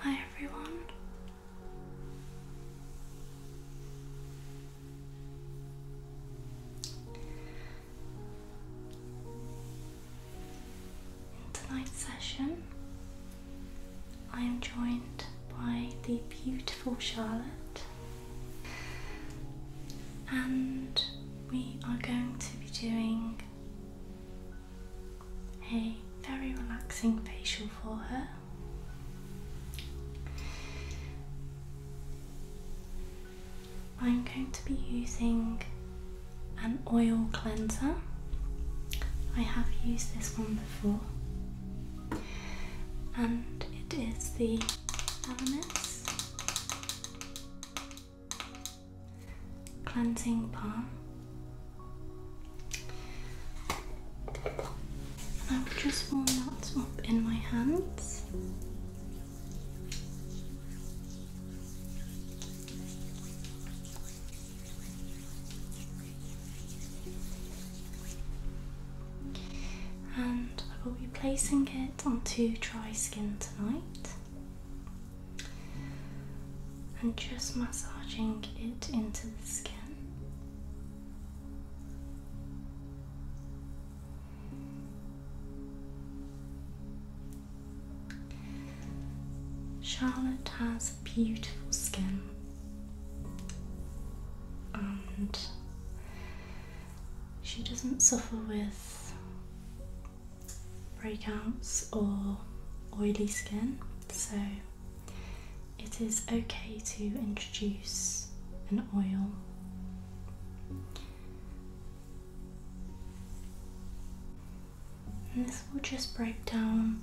Hi, everyone. tonight's session, I am joined by the beautiful Charlotte, and we are going to be doing a very relaxing facial for her. I'm going to be using an oil cleanser. I have used this one before, and it is the Elemis cleansing balm. And i will just warm that up in my hands. And I will be placing it onto dry skin tonight and just massaging it into the skin. Charlotte has beautiful skin and she doesn't suffer with breakouts or oily skin, so it is okay to introduce an oil. this will just break down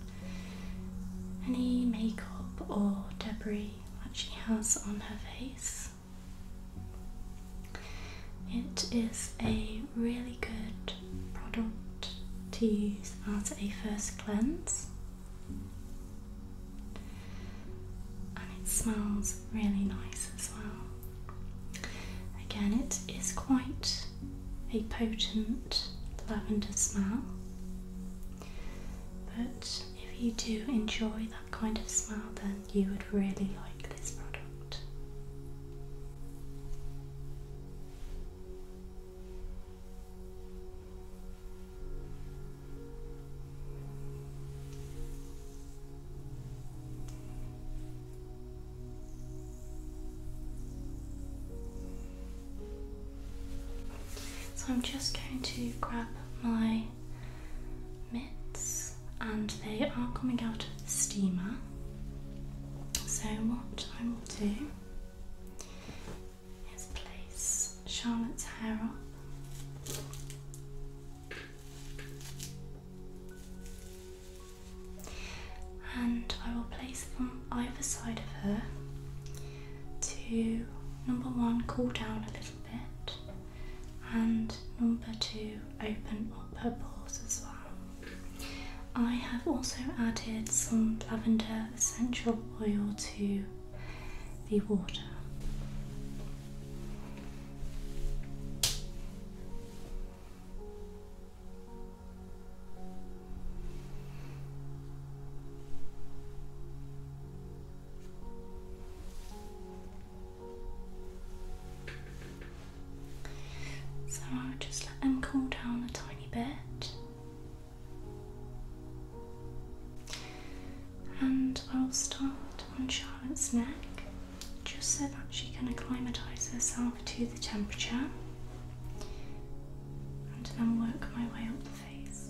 any makeup or debris that she has on her face. It is a really good product to use as a first cleanse, and it smells really nice as well. Again, it is quite a potent lavender smell, but if you do enjoy that kind of smell, then you would really like this product. So I'm just going to grab my mitts and they are coming out of the steamer. So, what I will do is place Charlotte's hair up. And I will place them either side of her to number one, cool down a little bit, and number two, open up her pores as well. I have also added some lavender essential oil to the water. So I'll just let them cool down a tiny bit. And I'll start on Charlotte's neck just so that she can acclimatise herself to the temperature and then work my way up the face.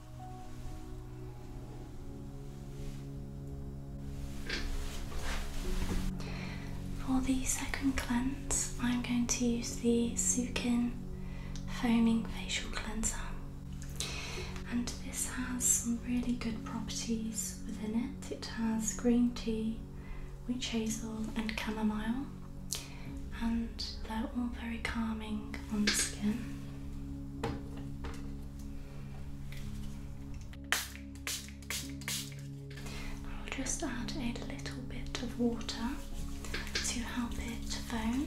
For the second cleanse, I'm going to use the Sukin Foaming Facial Cleanser, and this has some really good properties within it. It has green tea, witch hazel, and chamomile, and they're all very calming on the skin. I'll just add a little bit of water to help it foam.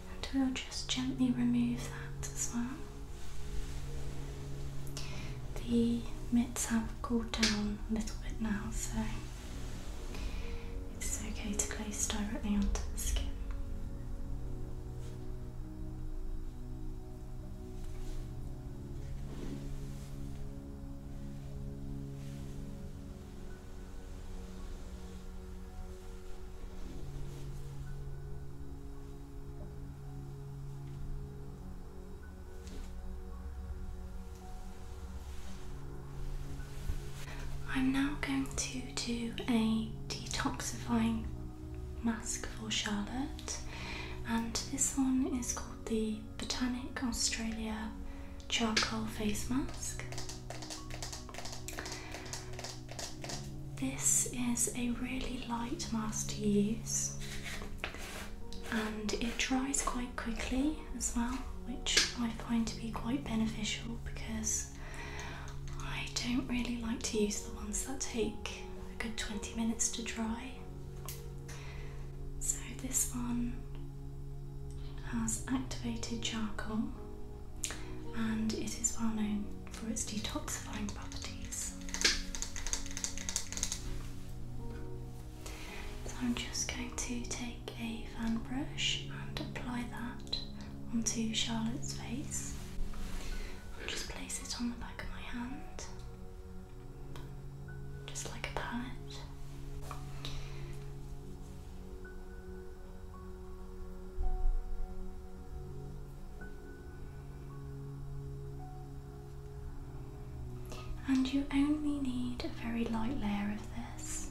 and we'll just gently remove that as well. The mitts have cooled down a little bit now, so it's okay to place directly onto the skin. I'm now going to do a detoxifying mask for Charlotte, and this one is called the Botanic Australia Charcoal Face Mask. This is a really light mask to use and it dries quite quickly as well, which I find to be quite beneficial because I don't really like to use the ones that take a good 20 minutes to dry. So, this one has activated charcoal and it is well known for its detoxifying properties. So I'm just going to take a fan brush and apply that onto Charlotte's face. i just place it on the back of my hand, just like a palette. And you only need a very light layer of this.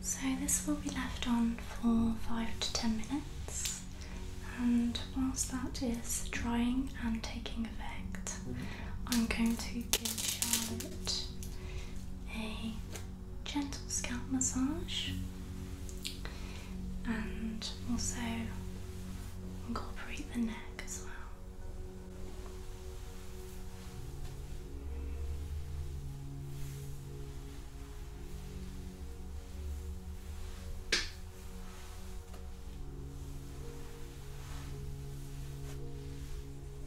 So, this will be left on for 5 to 10 minutes, and whilst that is drying and taking effect, I'm going to give Charlotte a gentle scalp massage and also incorporate the neck as well.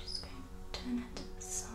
Just going to turn it to the side.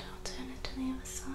I'll turn it to the other side.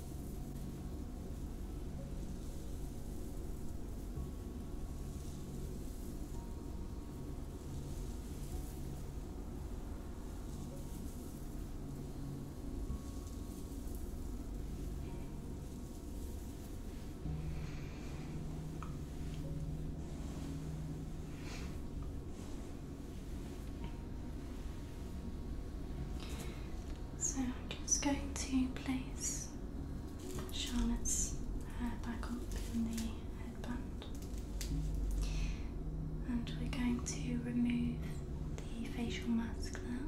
So I'm just going to place Charlotte's hair uh, back up in the headband. And we're going to remove the facial mask now.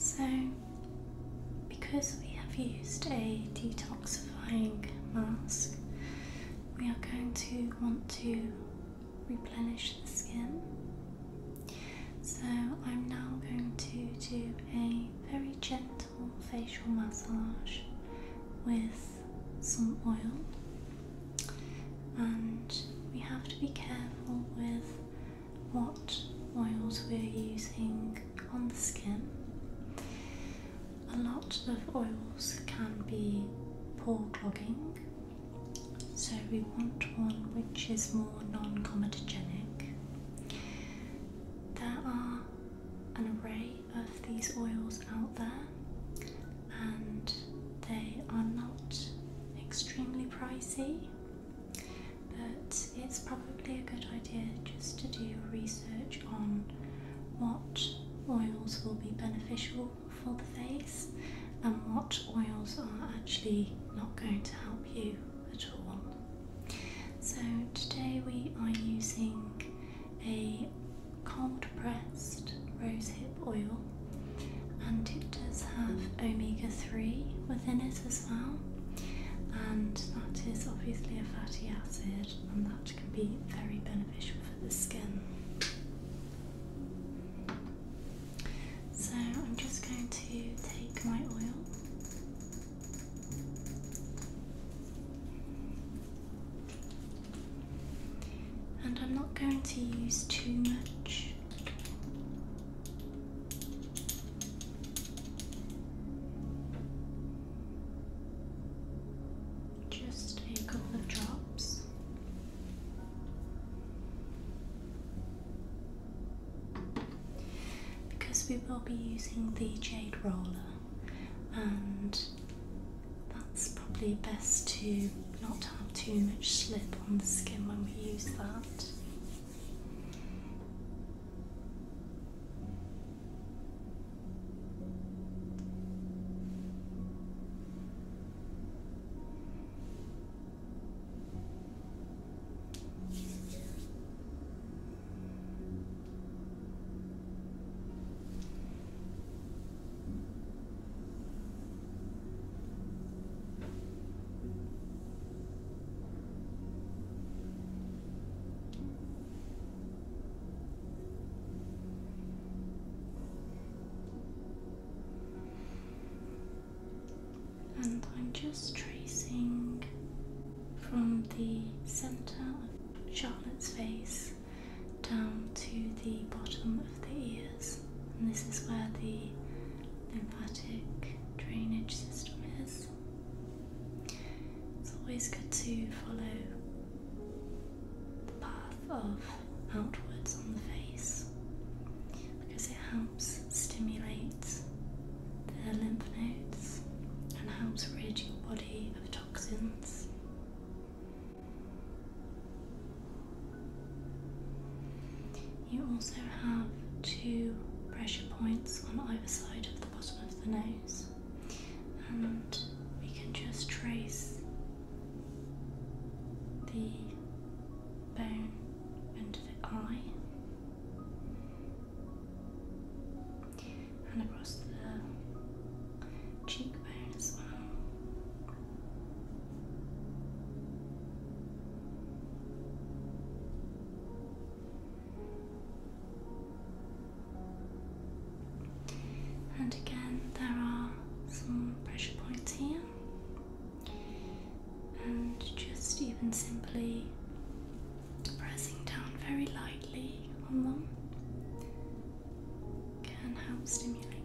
So, because we have used a detoxifying mask, we are going to want to replenish the skin. So, I'm now going to do a very gentle facial massage with some oil, and we have to be careful with what oils we're using on the skin. A lot of oils can be pore clogging, so we want one which is more non comedogenic. There are an array of these oils out there, and they are not extremely pricey, but it's probably a good idea just to do research on what oils will be beneficial for the face and what oils are actually not going to help you at all. So today we are using a cold pressed rosehip oil and it does have omega 3 within it as well and that is obviously a fatty acid and that can be very beneficial for the skin. So I'm just going to take my oil and I'm not going to use too much. Just a couple of drops. Because we will be using the jade roller and that's probably best to not have too much slip on the skin when we use that. And I'm just tracing from the center of Charlotte's face down to the bottom of the ears, and this is where the lymphatic drainage system is. It's always good to follow the path of outwards on the face because it helps stimulate the lymph nodes and helps rid your body of toxins. You also have two pressure points on either side of the bottom of the nose, and we can just trace the bone under the eye and across the cheekbone as well. And again, there are some pressure points here, and just even simply pressing down very lightly on them can help stimulate them.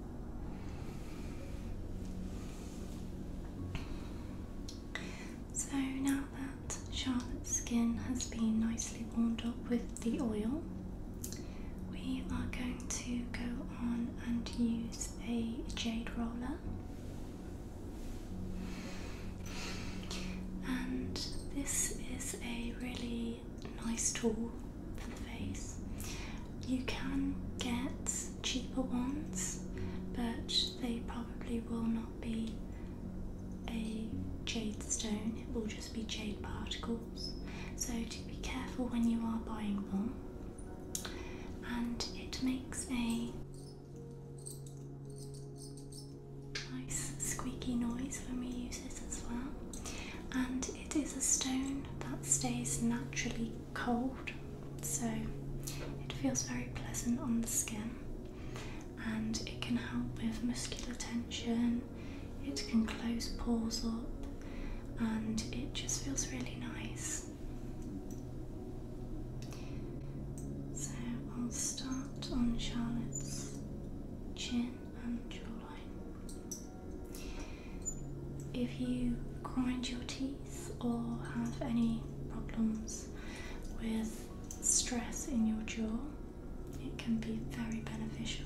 So now that Charlotte's skin has been nicely warmed up with the oil, we are going to go on and use a jade roller. And this is a really nice tool for the face. You can get cheaper ones, but they probably will not be a jade stone, it will just be jade particles. So, to be careful when you are buying them, and it makes a nice squeaky noise when we use this as well. And it is a stone that stays naturally cold, so it feels very pleasant on the skin and it can help with muscular tension, it can close pores up, and it just feels really nice. So I'll start on Charlotte's chin and jawline. If you grind your teeth or have any problems with stress in your jaw, it can be very beneficial.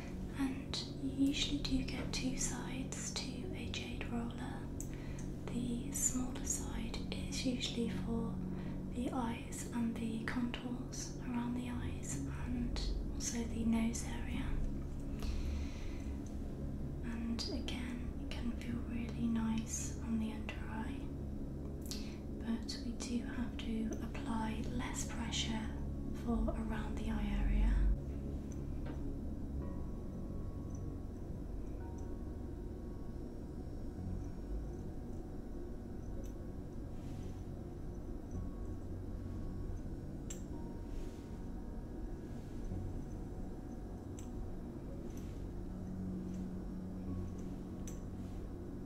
and you usually do get two sides to a jade roller. The smaller side is usually for the eyes and the contours around the eyes and also the nose area. And again, it can feel really nice on the under eye, but we do have to apply less pressure for around the eye area.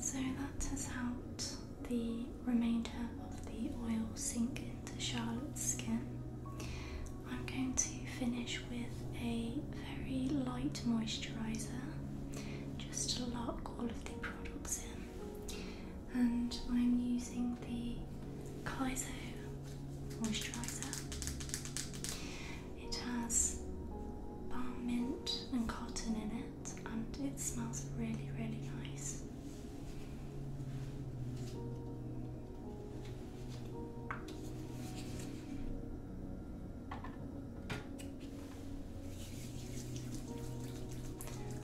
So that has helped the remainder of the oil sink into Charlotte's skin. I'm going to finish with a very light moisturiser just to lock all of the products in and I'm using the Kaizo moisturiser. It has balm mint and cotton in it and it smells really really nice.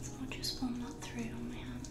So I'll just warm that through on my hands.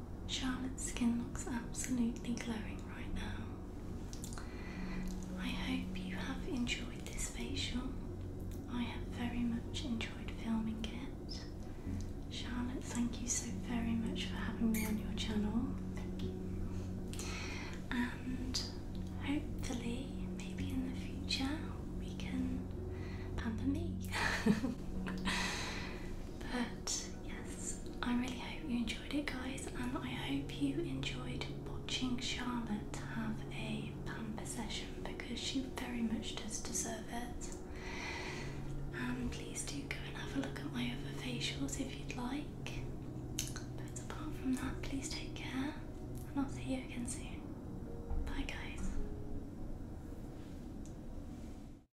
Charlotte's skin looks absolutely glowing right now. I hope you have enjoyed this facial. I have very much enjoyed filming it. Charlotte, thank you so very much for having me on your channel. Thank you. And hopefully, maybe in the future, we can pamper me. but yes, I really hope you enjoyed it, guys, and I hope you enjoyed watching Charlotte have a pamper session because she very much does deserve it. And please do go and have a look at my other facials if you'd like. But apart from that, please take care, and I'll see you again soon. Bye, guys.